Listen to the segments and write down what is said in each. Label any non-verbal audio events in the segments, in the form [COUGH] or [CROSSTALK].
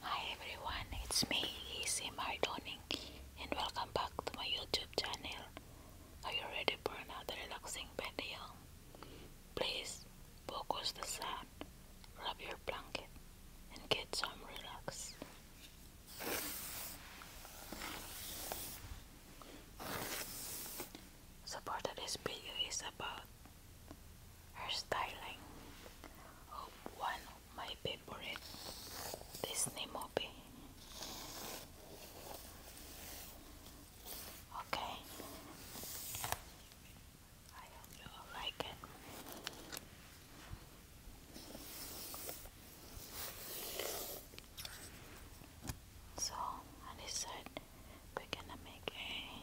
Hi everyone, it's me, Easy Mardoning, and welcome back to my YouTube channel. Are you ready for another relaxing video? Please focus the sun, rub your blanket, and get some relax. So part of this video is about her styling one of my favorite Disney movie. Okay. I hope you like it. So I decided we're gonna make a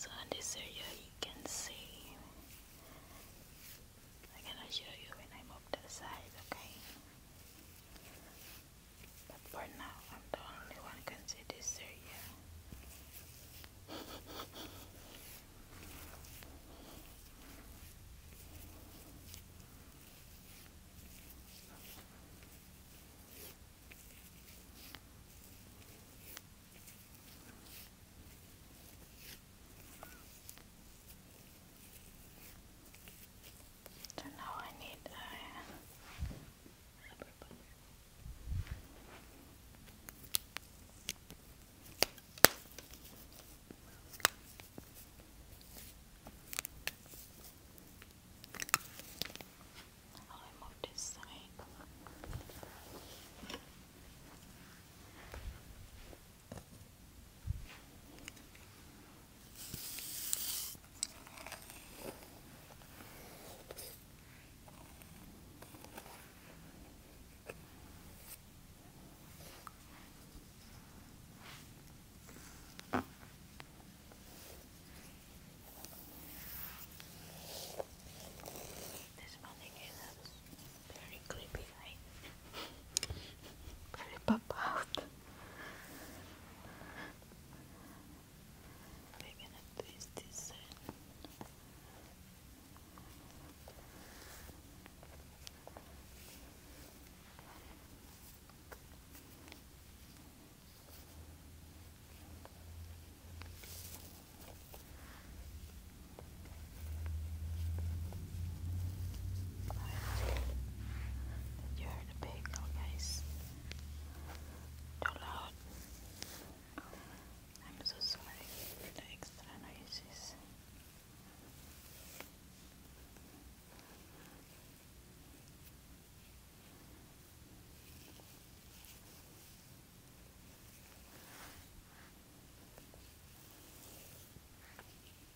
So in this area you can see I'm gonna show you when I move the side, okay? But for now, I'm the only one can see this area. So now I need I'll remove this side. This one again very creepy night. very pop out. We're this in. You heard the bagel, guys. Too loud. I'm so sorry the extra noises.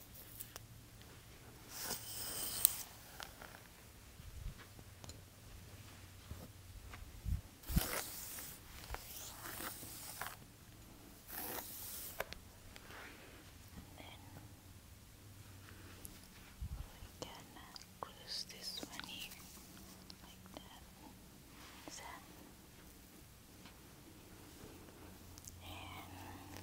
we can close this one here like that. and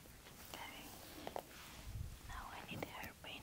Okay. Now I need hairpin.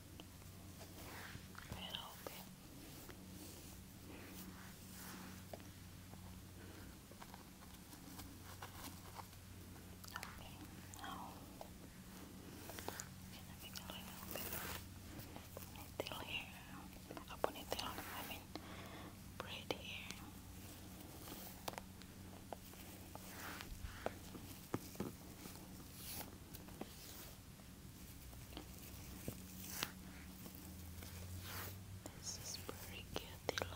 and open. Okay, now can I make a little bit here? A ponytail, I mean, braid here. This is very cute look.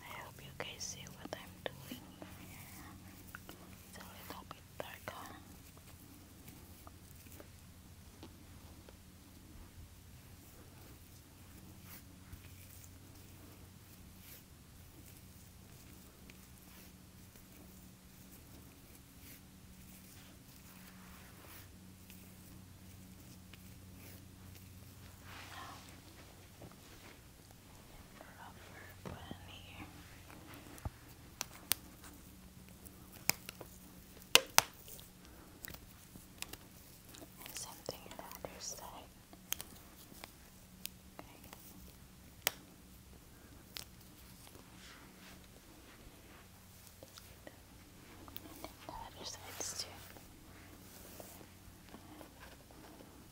I hope you guys see what I'm doing here. It's a little bit rubber band on the other side. the other sides too.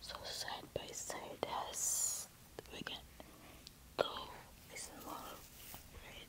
So side by side as we can go is more red.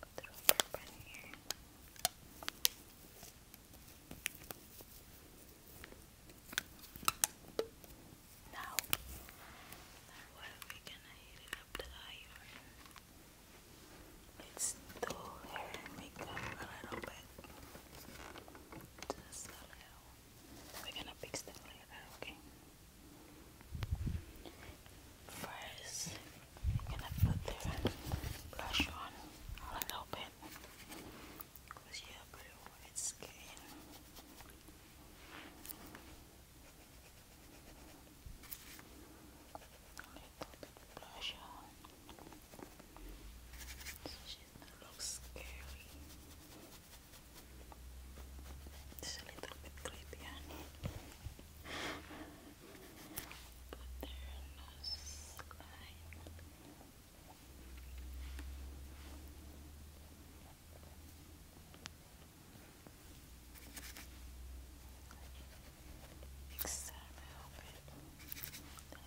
Put the Now, what are gonna hit it up the iron? Let's do hair and makeup a little bit. Just a little. We're gonna fix that later, Okay. First, I'm gonna put the blush on a little bit because you have very white A little blush on so she doesn't look scary. It's a little bit creepy, I But there are no slime. Next time I open the other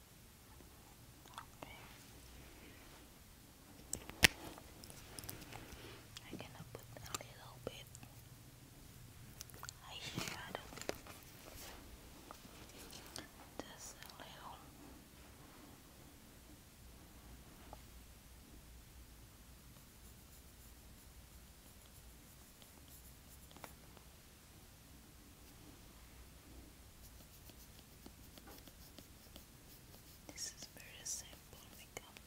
Okay. I'm gonna put a little bit eyeshadow. Just a little. This is very simple makeup.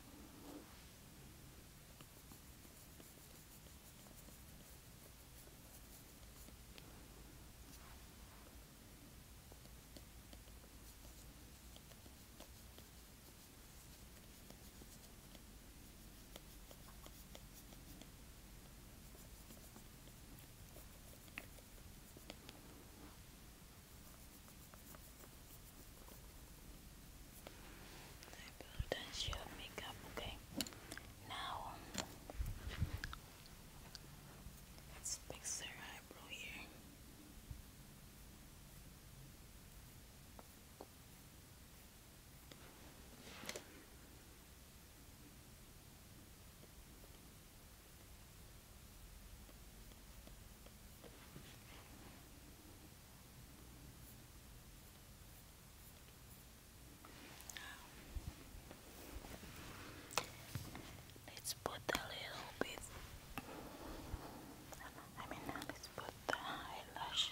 I will dance your makeup, okay? Now, let's fix her eyebrow here. Let's put a little bit. I mean, let's put the eyelash.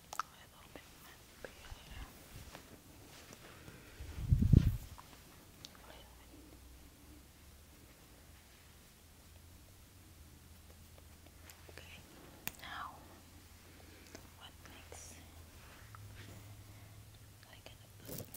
a little bit might be here. A little bit. Okay, now what makes I can put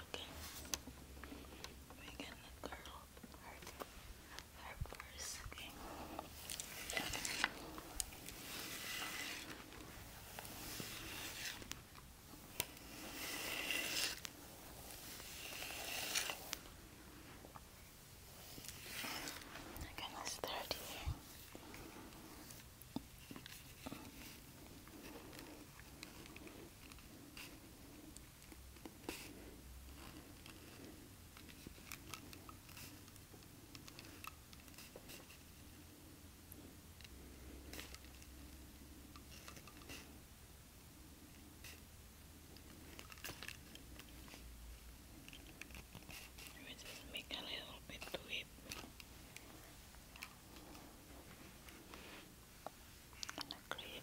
okay? We're gonna her, first, okay? I'm gonna here. We just make a little bit to it. I'm a wave. Okay.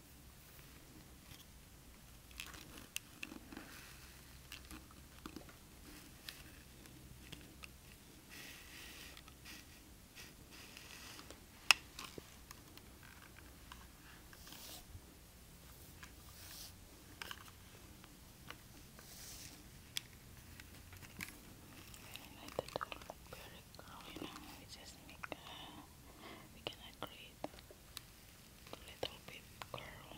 I like the color of the you know, it just make we gonna create a little bit curl Okay.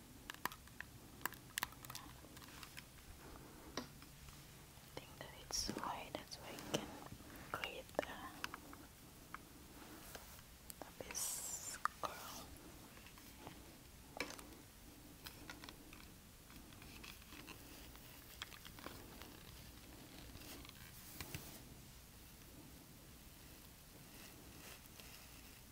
I think that it's so that's why you can create the, the base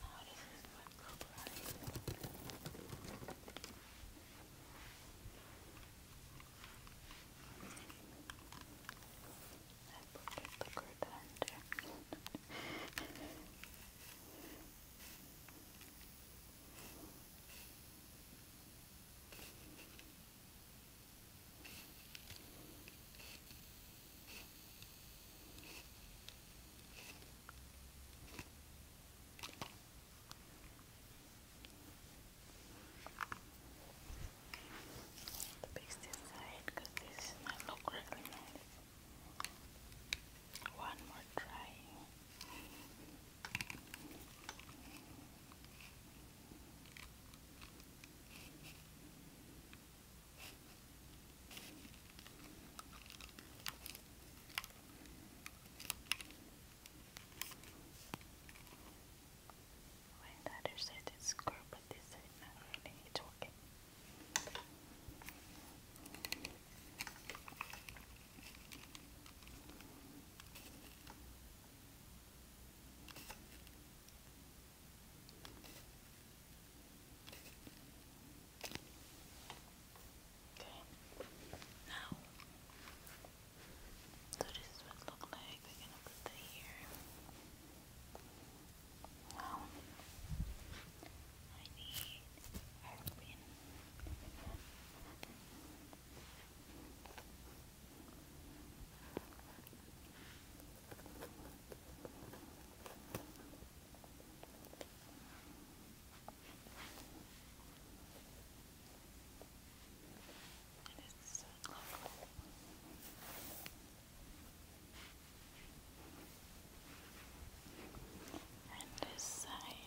How oh, does this one look like? I put the curtain under. The paste inside because this is not look really nice. One more try. When the other side is but this side not really, it's okay. Okay, now, so this is what it looks like. We're gonna put that here. Now, I need hairpin. Okay. It is so local. And this side.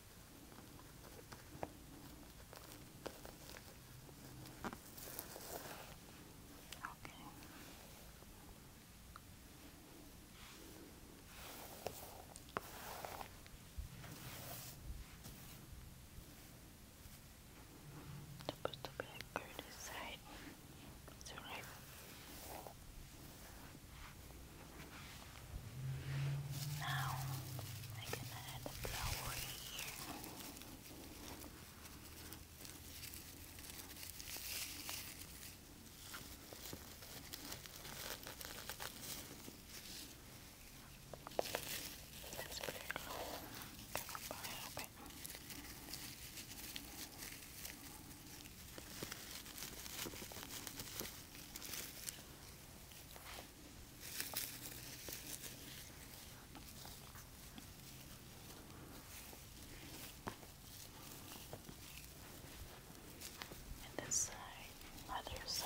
Okay. Supposed to be like good side. It's alright. Now I'm gonna add the flower here. That's pretty cool. Cover up a and this side, other side.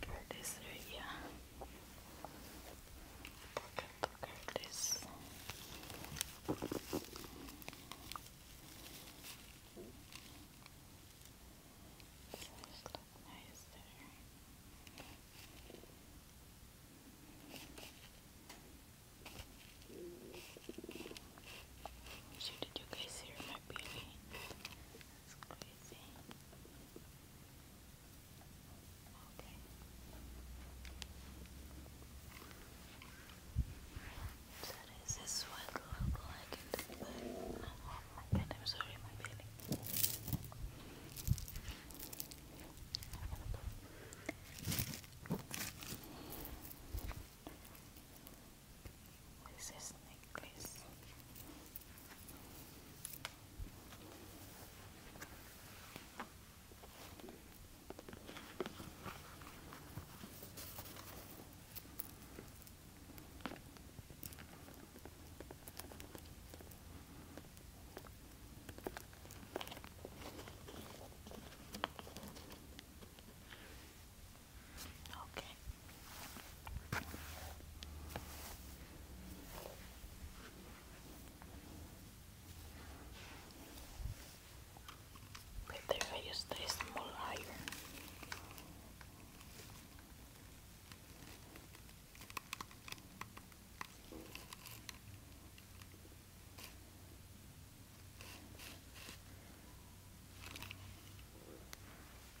Part this area. Look at this. This look nice there. did you guys hear my baby? That's crazy. Okay. So this is what it look Oh my god, I'm oh sorry, my feeling. [LAUGHS] with this necklace. Okay. Better if small iron.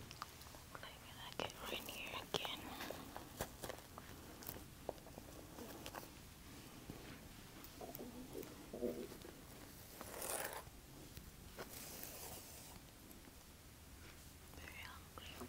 I get right here again. Very hungry.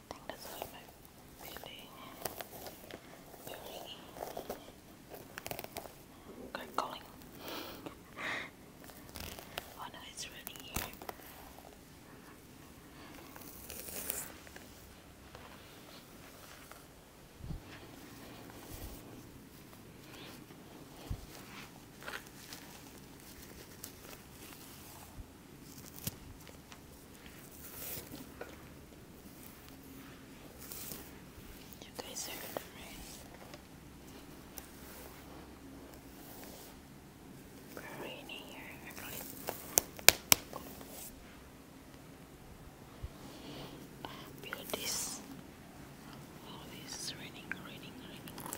I think that's all my belly. Belly. Good calling. oh no, it's really here. You guys heard them, right? we here, everybody. Build this. this raining, raining, raining.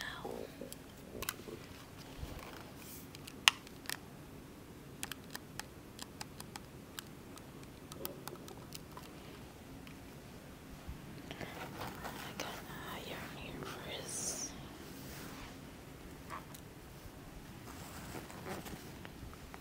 Now. I got an iron here for his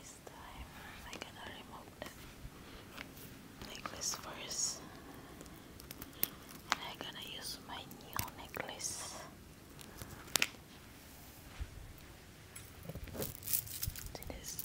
This time I gonna remove the necklace first i gonna use my new necklace this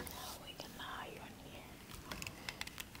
Now we can iron here. Now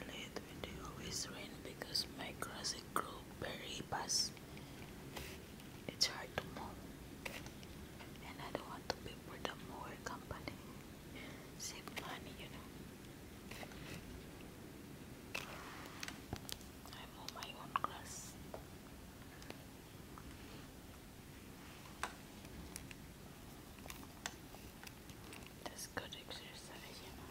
early the window always rain because my grassy grew very fast. It's hard to move and I don't want to be for the mower company. Save money, you know. I'm on my own grass. That's good exercise, you know.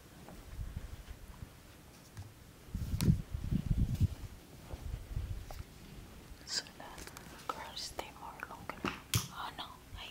So that girls stay more longer. Oh no, I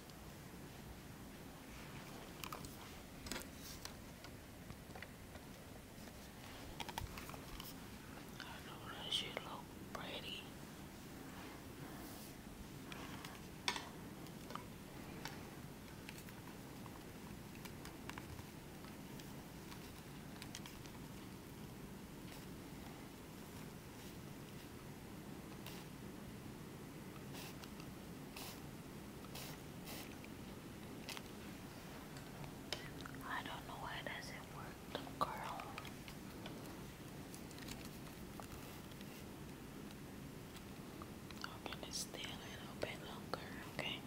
I know that shit look pretty. I don't know why doesn't work, the girl. Open it still a little bit longer, okay?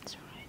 That's all right.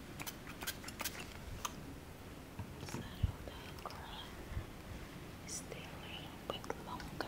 Settle down, a little bit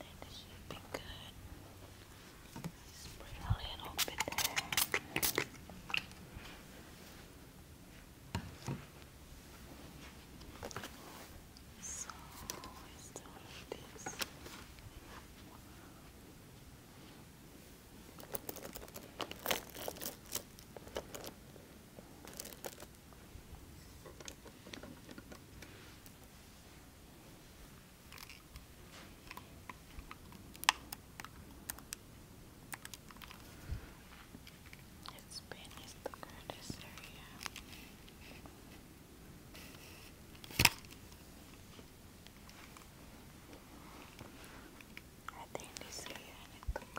I think this should be good. Spray a little bit there. So I still his pain is the greatest area. I think this area I need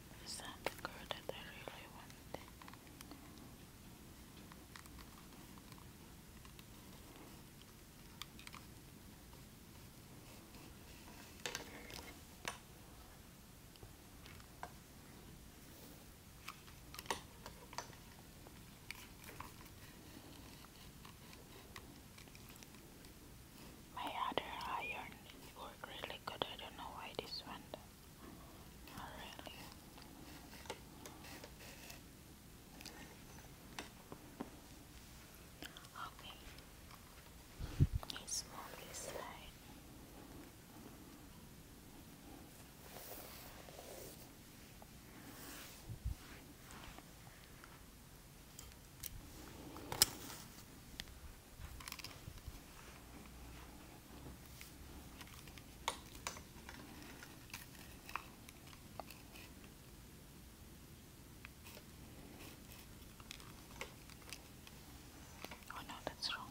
Is that the girl that I really wanted? My other irons work really good. I don't know why this one Okay. Let's move this side. Oh no, that's wrong.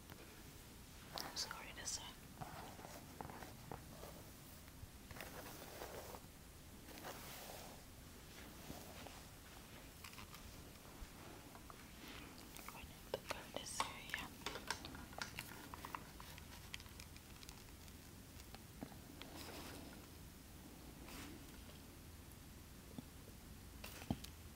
I'm Sorry to say. Going the bonus area.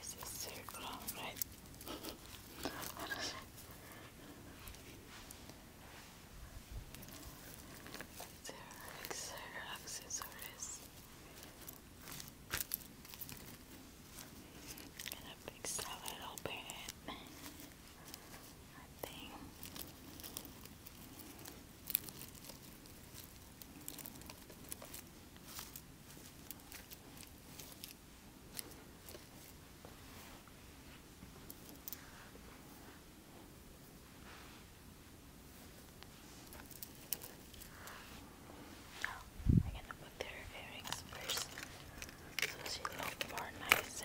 This is so long, right? there are extra accessories and a big salad open it. I think. I'm gonna put their earrings first so she look more nicer.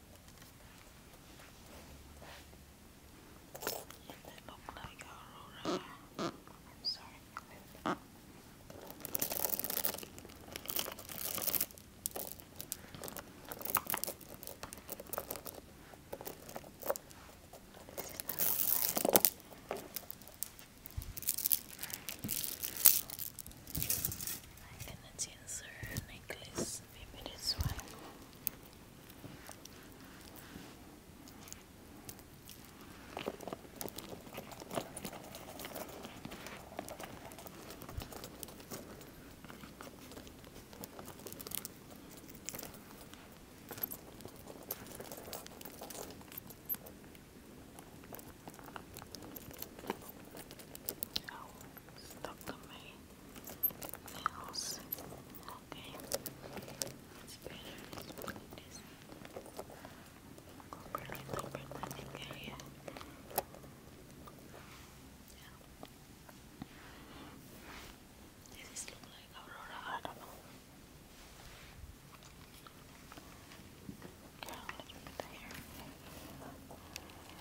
They look like Aurora. I'm sorry. I can answer necklace, maybe this one. Oh, stuck on my nails. Okay, it's better. Let's put this properly over the Yeah. this look like Aurora? I don't know. Okay,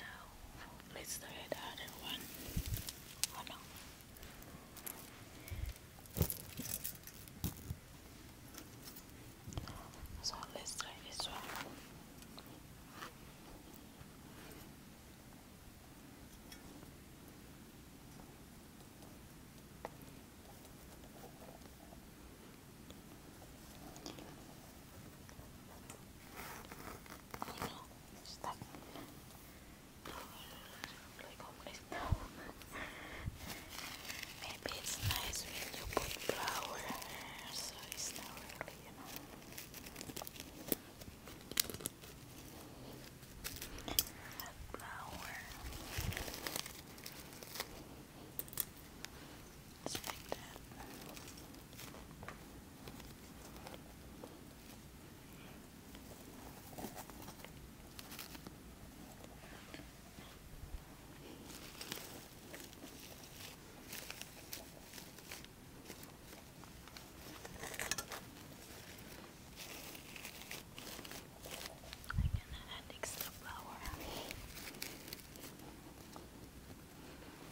Now let's try the other one. So let's try this one. Oh Maybe it's nice when you put flour so it's not really, you know. Let's I'm gonna add extra flour.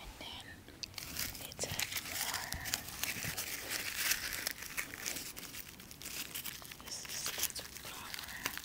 And then it's a more this is the flower.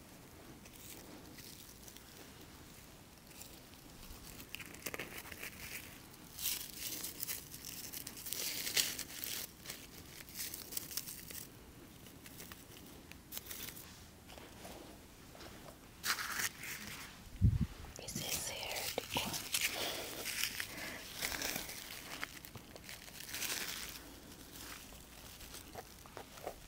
Esse é certo.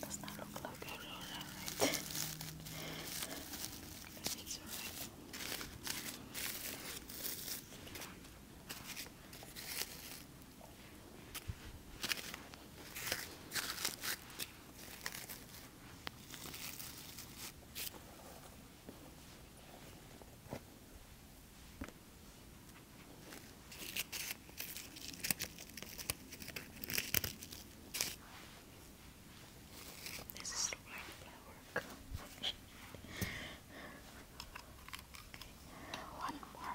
Does not look like a roller, right? [LAUGHS] it's alright. This is like blood work. okay. One more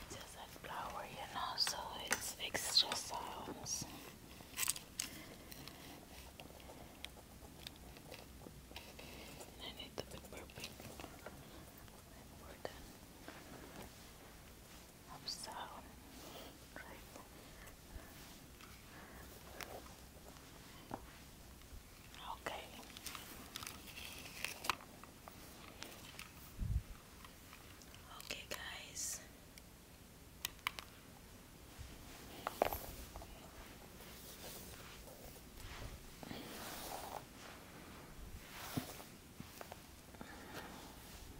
It's just a flower, you know, so it's extra sounds. I need the bit We're done. Hope so. Okay. Okay, guys.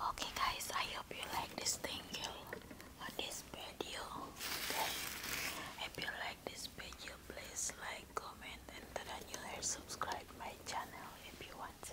Okay guys, I hope you like this thing, this video. if you like this video, please like, comment, and turn on your hair. Subscribe my channel if you want. To.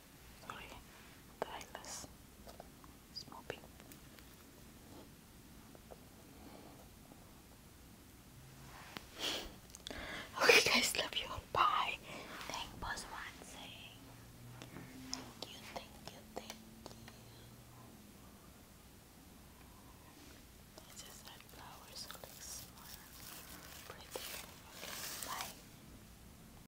sorry, tireless smoking. [LAUGHS] okay guys, love you Bye. Thank boss Thank you, thank you, thank you. I just had flowers so it looks more pretty. Okay, bye.